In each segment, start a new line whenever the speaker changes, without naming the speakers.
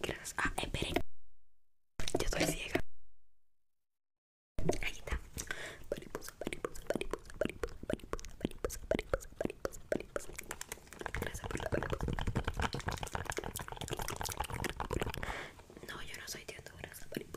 Gracias. Ah, esperen. Yo estoy ciega. Ahí está. Mariposa, mariposa, mariposa, mariposa, mariposa, mariposa, mariposa, mariposa, mariposa. Gracias por la mariposa. No, yo no soy de Honduras. Mariposa.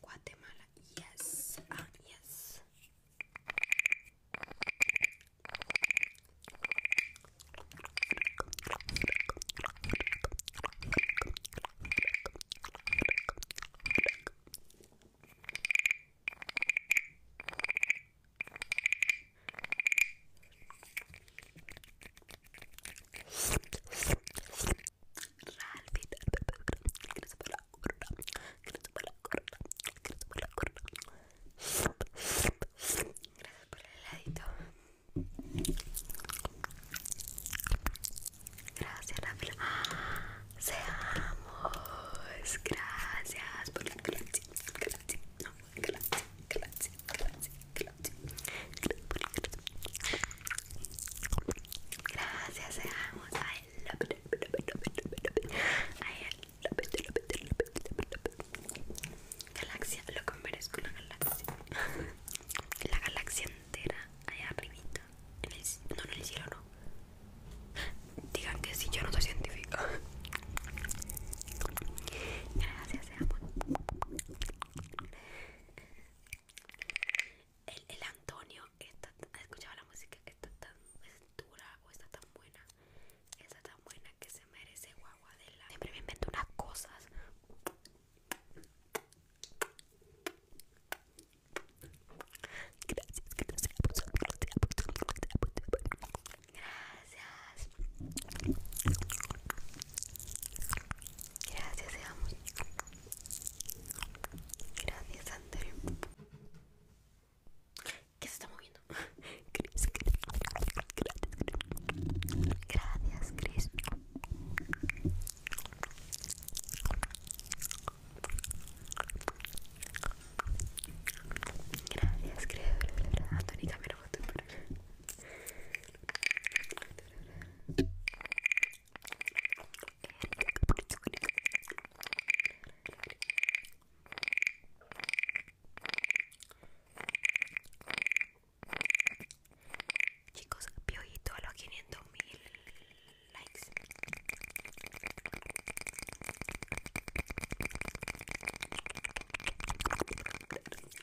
Guatemala, yes, ah, yes. por el heladito. Gracias, Rafael. Seamos. Gracias por la gracias. Gracias. No, gracias. Gracias. Gracias. Gracias, seamos. I love it. I love it, Galaxia, lo con una galaxia. La galaxia entera allá arribita. No, no, en el cielo no. Digan que si sí, yo no soy científico. Gracias, seamos. El, el Antonio, esta, escuchado la música, Que está tan dura o está tan buena, está tan buena que se merece guaguadela. Siempre me invento unas cosas. gracias. Gracias, Gracias, André. ¿Qué se está moviendo? Gracias, Gracias, creo. Antónica me lo Chicos, piojito a los 500 mil likes.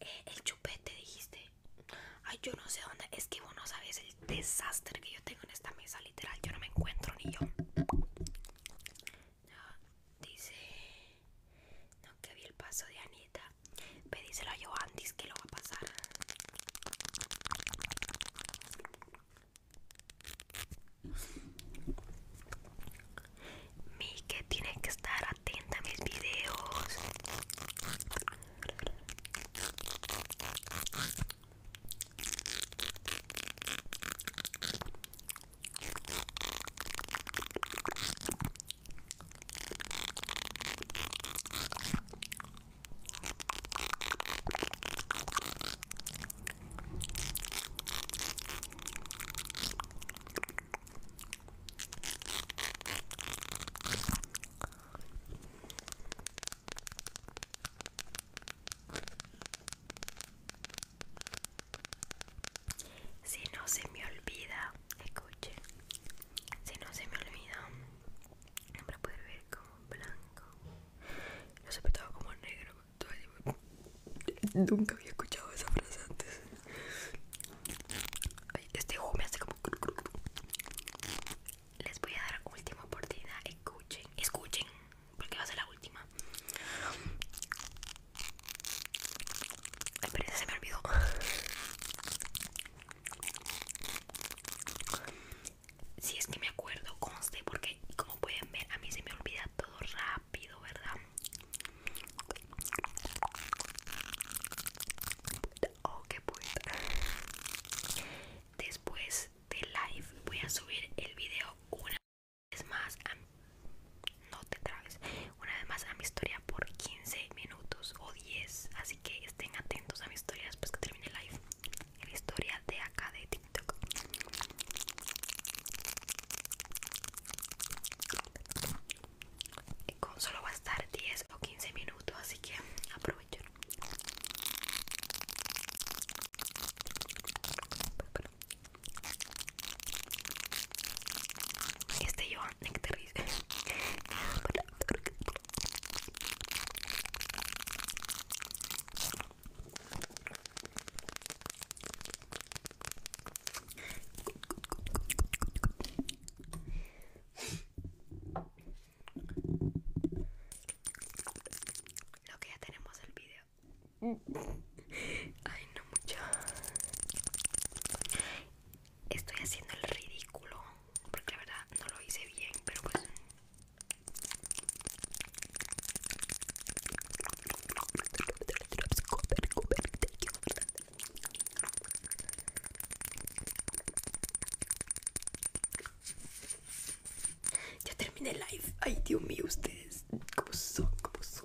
Eh, el chupete dijiste. Ay, yo no sé dónde. Es que vos no sabes el desastre que yo tengo en esta mesa, literal. Yo no me encuentro ni yo. Ah, dice. No, que vi el paso de Anita. Pedíselo a antes que lo va a pasar. Mi que tiene que estar atenta a mis videos. Si no se me olvida, escuche. Si no se me olvida, para poder ver como blanco. Lo todo como negro. Nunca había escuchado esa frase antes. este ojo me hace como. Les voy a dar última oportunidad. Escuchen, escuchen, porque va a ser la última. Ay, pero se me olvidó. Si es que me acuerdo, conste, porque como pueden ver, a mí se me olvida todo rápido, ¿verdad? Oh, qué Después de live voy a subir el video una vez más no te una vez más a mi historia por 15 minutos así que estén atentos a mi historia después que termine el live la historia de acá de tiktok con solo va a estar 10 o 15 minutos así que aprovechen este yo Nectaris Lo que ya tenemos el video. Mm. Ay, no mucho estoy haciendo el ridículo porque la verdad no lo hice bien pero pues ya terminé live ay Dios mío ustedes como son como son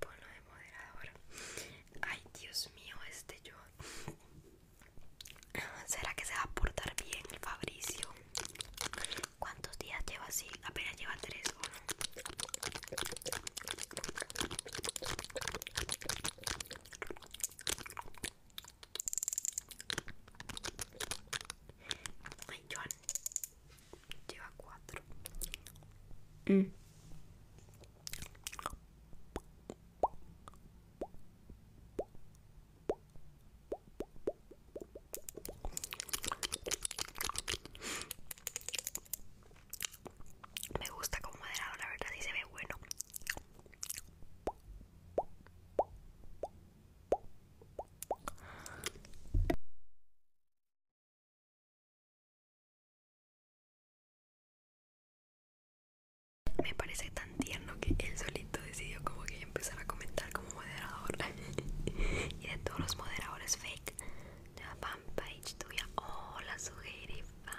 Pono de moderador. Ay, Dios mío, este yo. ¿Será que se va a portar bien el Fabricio? ¿Cuántos días lleva así? Apenas lleva tres o Joan. Lleva cuatro. Mm. Me gusta como moderado, la verdad, sí se ve bueno. Me parece tan tierno que él solito decidió como que empezar a comentar como moderador Y de todos los moderadores fake La Page tuya, hola Sugeri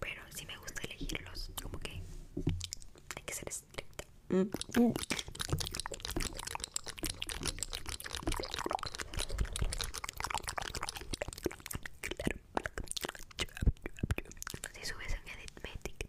pero si me gusta elegirlos, como que hay que ser estricta. Si subes en Editmatic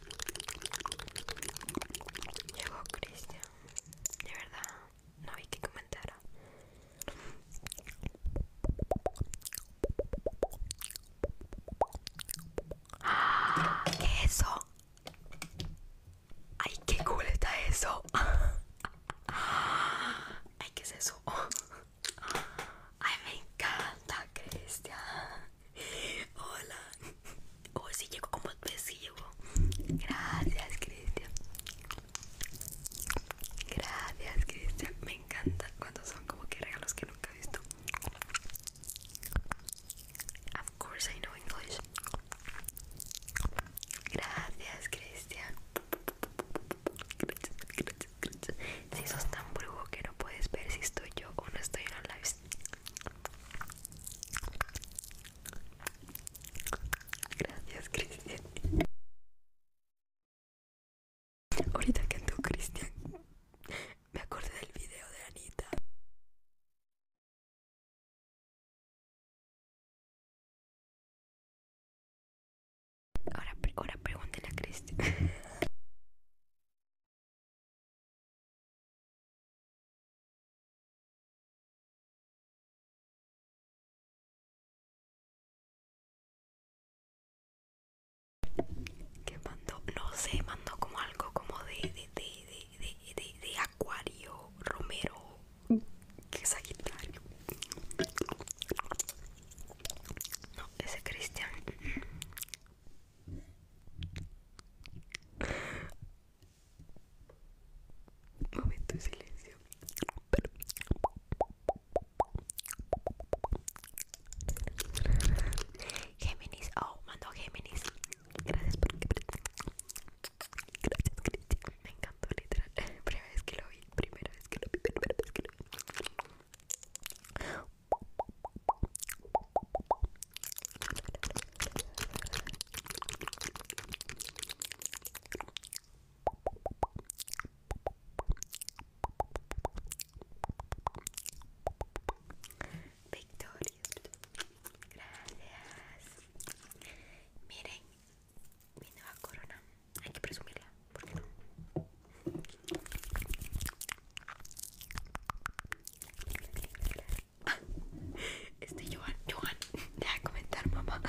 Llegó Cristian. De verdad, no vi que comentara. ¿Qué es eso? ¡Ay, qué cool eso! ¡Ay, qué es eso! Ay, me encanta, Cristian. Hola. Oh, si sí llego como ves, sí llego. Gracias, Cristian. Gracias, Cristian. Me encanta cuando son como que regalos que nunca he visto. Of course I know English. Gracias, Cristian. Gracias, gracias, gracias. Si sos tan brujo que no puedes ver si estoy yo o no estoy en la live. Gracias, Cristian. Ahorita que tú, Cristian, me acordé del video de Anita. Ahora, ahora a Cristian. que mandó no sé mandó como algo como de de, de, de, de, acuario romero que sagitario no ese cristian Momento de silencio. Géminis, oh, mandó Géminis. Gracias por Gracias, Cristian. Me encantó, literal. Primera vez que lo vi, primera vez que lo vi, primera vez que lo vi. Victoria, gracias. Miren, mi nueva corona, hay que presumirla. ¿Por no? Ah, este Johan, Johan, deja de comentar, mamá.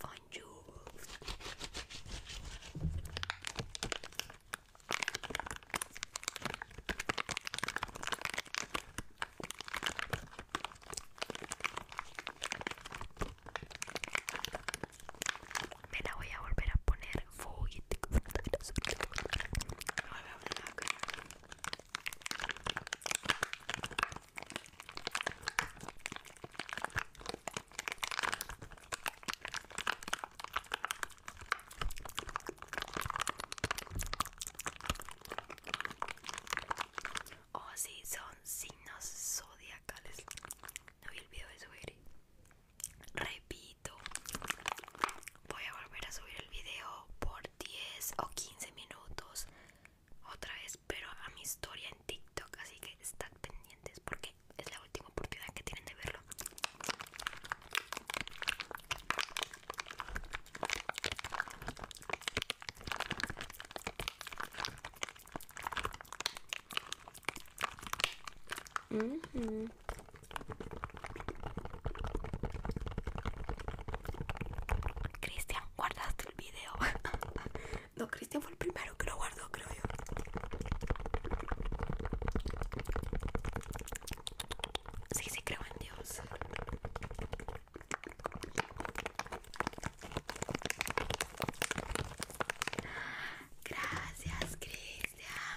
Fine jewels. Me la voy a volver a poner full. Oh, sí, son signos zodiacales. No vi el video de subir. Repite voy a volver a subir el video por 10 o 15 minutos otra vez pero a mi historia en TikTok así que estad pendientes porque es la última oportunidad que tienen de verlo Cristian, guardaste el video. no, Cristian fue el primero que lo guardó, creo yo. Sí, sí, creo en Dios. Gracias, Cristian.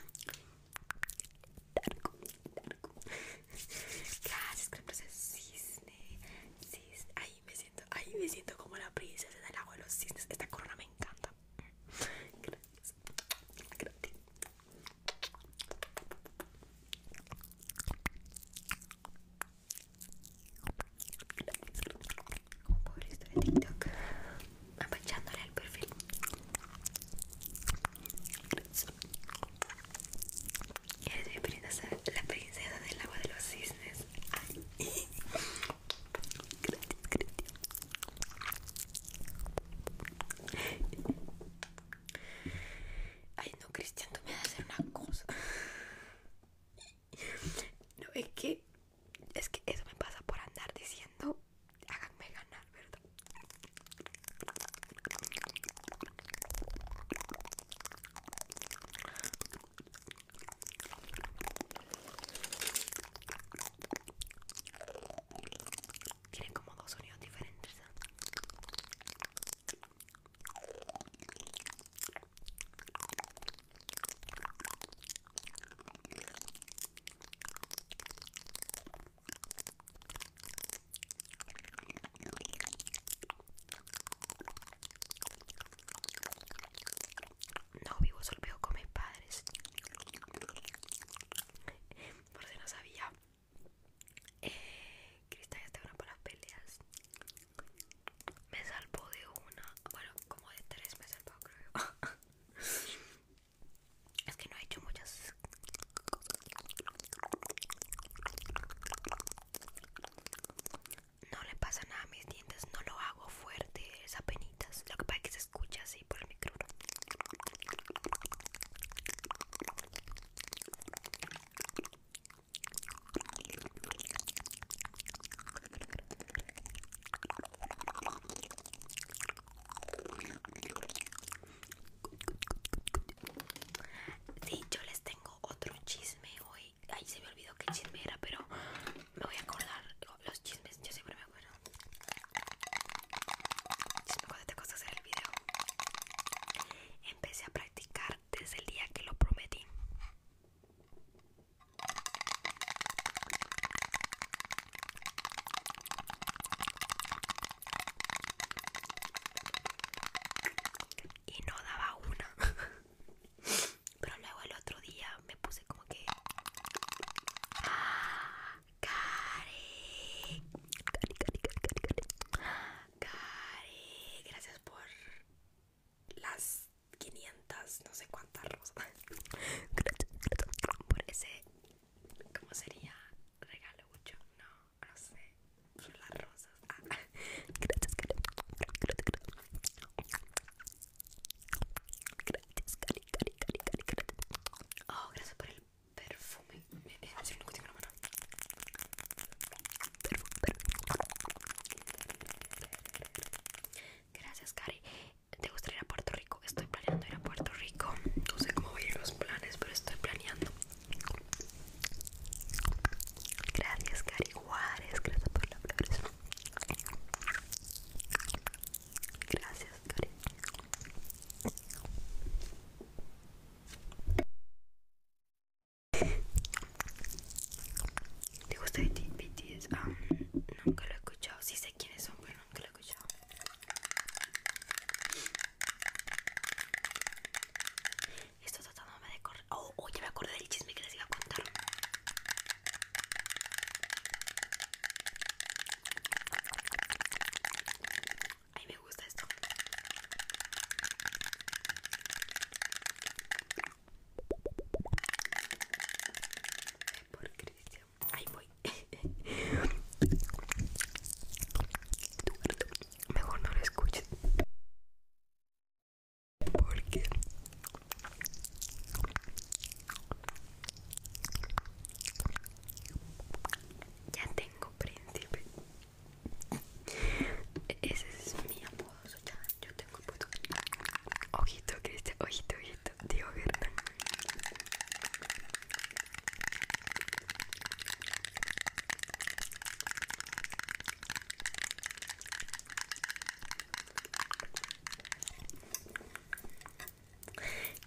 Darko, Darko. Gracias, princesa cisne. Cis. Ahí me siento, ahí me siento como la princesa del agua de los cisnes. Esta corona me encanta. Gracias. Gracias. Como pobre historia de TikTok perfil el perfil eres mi princesa la princesa del agua de los cisnes Ay. gracias Ay no Cristian, tú me vas a hacer una cosa No, es que Es que eso me pasa por andar diciendo háganme ganar, ¿verdad? Tienen como dos sonidos diferentes. ¿eh? No vivo solo vivo con mis padres. Por si no sabía. Eh, Cristal ya está una para las peleas. Me salvo de una. Bueno, como de tres me salvó, creo. Es que no he hecho muchas No le pasa nada a mis dientes, no lo hago fuerte, es penitas. Lo que pasa es que se escucha así por el micrófono. Sí, yo les tengo otro chisme hoy. Ay, se me olvidó qué chisme era, pero me voy a acordar. Los chismes, yo siempre me acuerdo. cuando te cosas hacer el video. Empecé a practicar desde el día que lo prometí y no daba una pero luego el otro día me puse como que cari, cari, cari, cari! ¡Cari! gracias por las 500 no sé cuántas rosas gracias, gracias por ese ¿Cómo sería regalo mucho? No, no sé. Son Las rosas. Ah. gracias, Cari. Gracias, Cari, Cari, Cari, Cari, Oh, gracias por el perfume. Eh, eh, es voy a decir un último la Perfume, perfume. Gracias, Cari. ¿Te gusta ir a Puerto Rico? Estoy planeando ir a Puerto Rico. No sé cómo voy ir los planes, pero estoy planeando. Gracias, Cari Juárez. Gracias por las flores. Gracias, Cari. ¿Te gusta BTS? Um, ah, nunca lo he escuchado. si sé quiénes son, pero nunca está Esto tratándome de correr. Oh, oh, ya me acordé del chisme que les iba a contar. Ay, me gusta esto. Por Cristian. Ahí voy. Mejor no lo escuches. Porque ya tengo príncipe. Ese es mi apodo, ya yo tengo Ojito, Criste, ojito, ojito, tío. Hernán.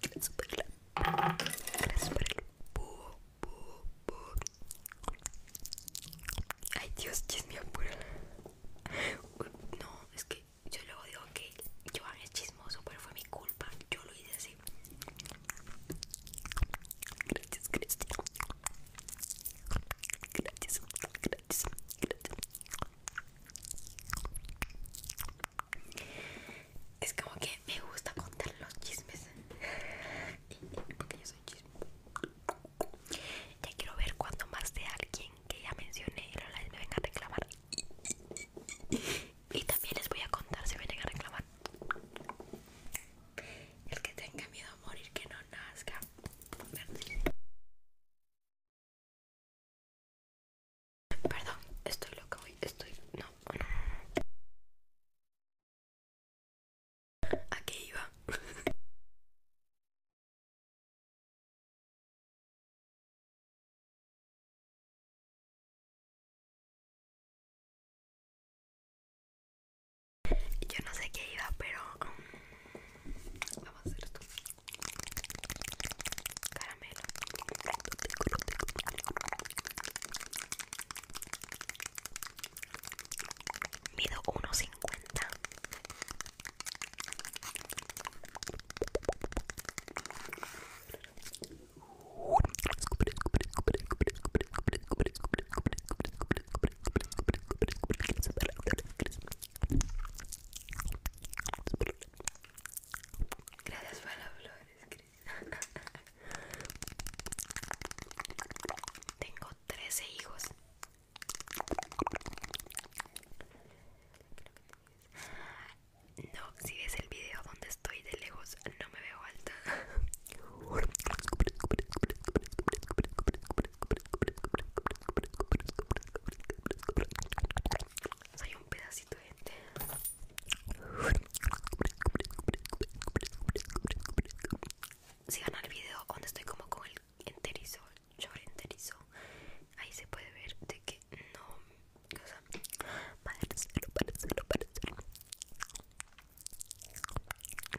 Gracias por el Gracias por el Ay Dios, No, es que yo luego digo que Joan es chismoso, pero fue mi culpa. Yo lo hice así. Gracias, gracias. Gracias, gracias, gracias. Es como que me gusta contar los chismes. Porque yo soy chisme. Ya quiero ver cuando más de alguien que ya mencioné y la la venga a reclamar y también les voy a contar si vienen a reclamar. El que tenga miedo a morir, que no nazca. Perdón, estoy loca hoy. Estoy. No, no, no. ¿A qué iba? Yo no sé qué iba, pero um, vamos a hacer esto. Caramelo. Mido 1.50. Gracias por las flores, Tengo 13 hijos no, si ves el video donde estoy de lejos, no me veo alta. Soy un pedacito de gente. Sigan al video donde estoy como con el enterizo, yo Ahí se puede ver de que no, o sea, hacerlo, para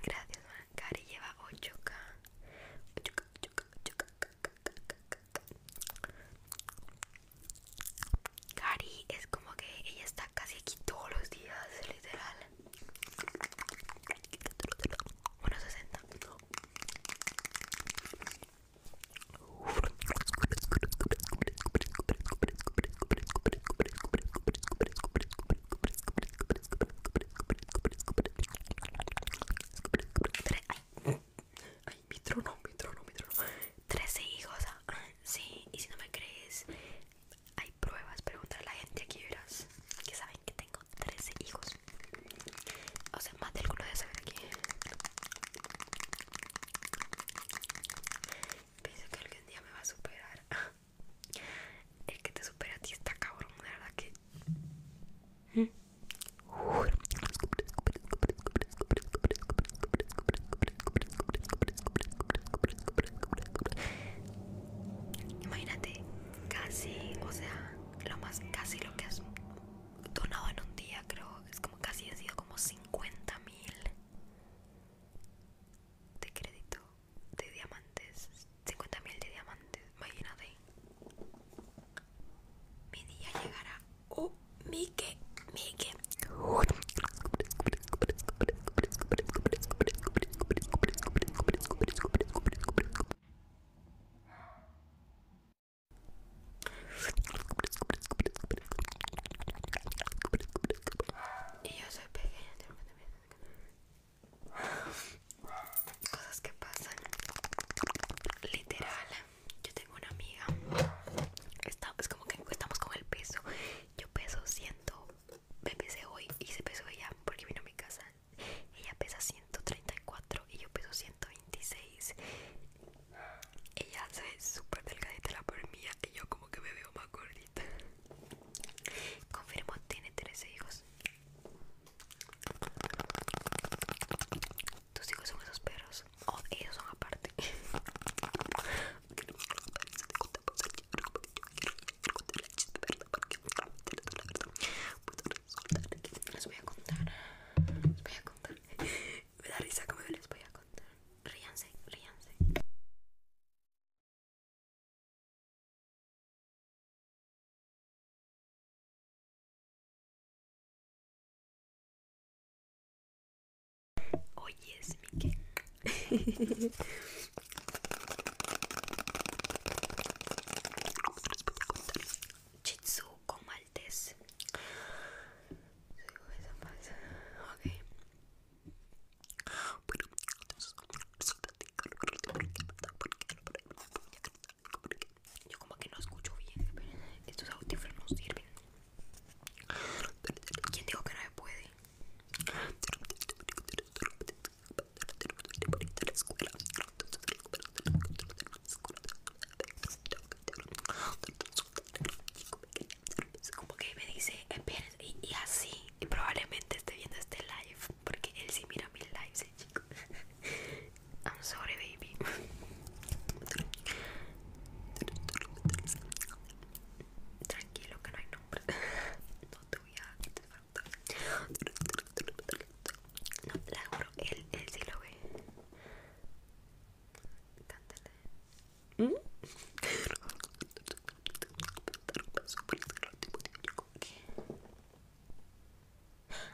Gracias, lleva 8K. 8K, 8K, 8K, Cari es como que ella está casi aquí todos los días, literal. 1.60. Ay, mi trono, mi trono, mi trono. 13 hijos. Ah, sí, y si no me crees, hay pruebas. Pregúntale a la gente aquí, verás. Que saben que tengo 13 hijos. O sea, más del culo de saber aquí. Pienso que algún día me va a superar. El que te supera a ti está cabrón, verdad que. Imagínate, casi, o sea, lo más casi lo que has donado en un día creo es como casi ha sido como 50.000 de crédito de diamantes 50.000 de diamantes imagínate mi día llegará oh Mike Mike y yo soy pequeña Cosas que pasan Literal Yo tengo una amiga Es como que estamos con el peso Yo peso 100 Me pesé hoy y se pesó ella Porque vino a mi casa ella pesa 134 y yo peso 126. Ella se ve súper delgadita la por mía y yo como que me veo más gordita. Confirmo, tiene 13 hijos. Tus hijos son esos perros. Oh, ellos son aparte les voy a contar, les voy a contar. Me da risa como les voy a contar. Ríanse, ríanse. Oye, es mi Chitsu con Yo como que no escucho bien, Estos estos audífonos sirven. ¿Quién dijo que no me puede? como que me dice y, así probablemente esté viendo este live porque él sí mira mis lives I'm sorry baby tranquilo que no hay nombre No, No, la juro, él, sí lo ve. Cántale. ¿Mm?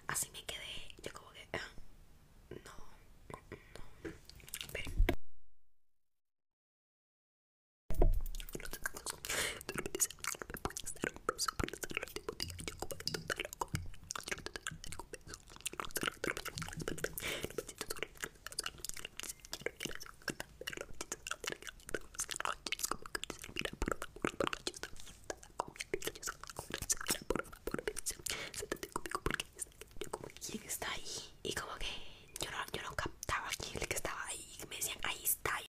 Así me quedé, yo como que ah, no, no, está ahí? Y como que yo no, yo no captaba que estaba ahí. Y me decían, ahí está.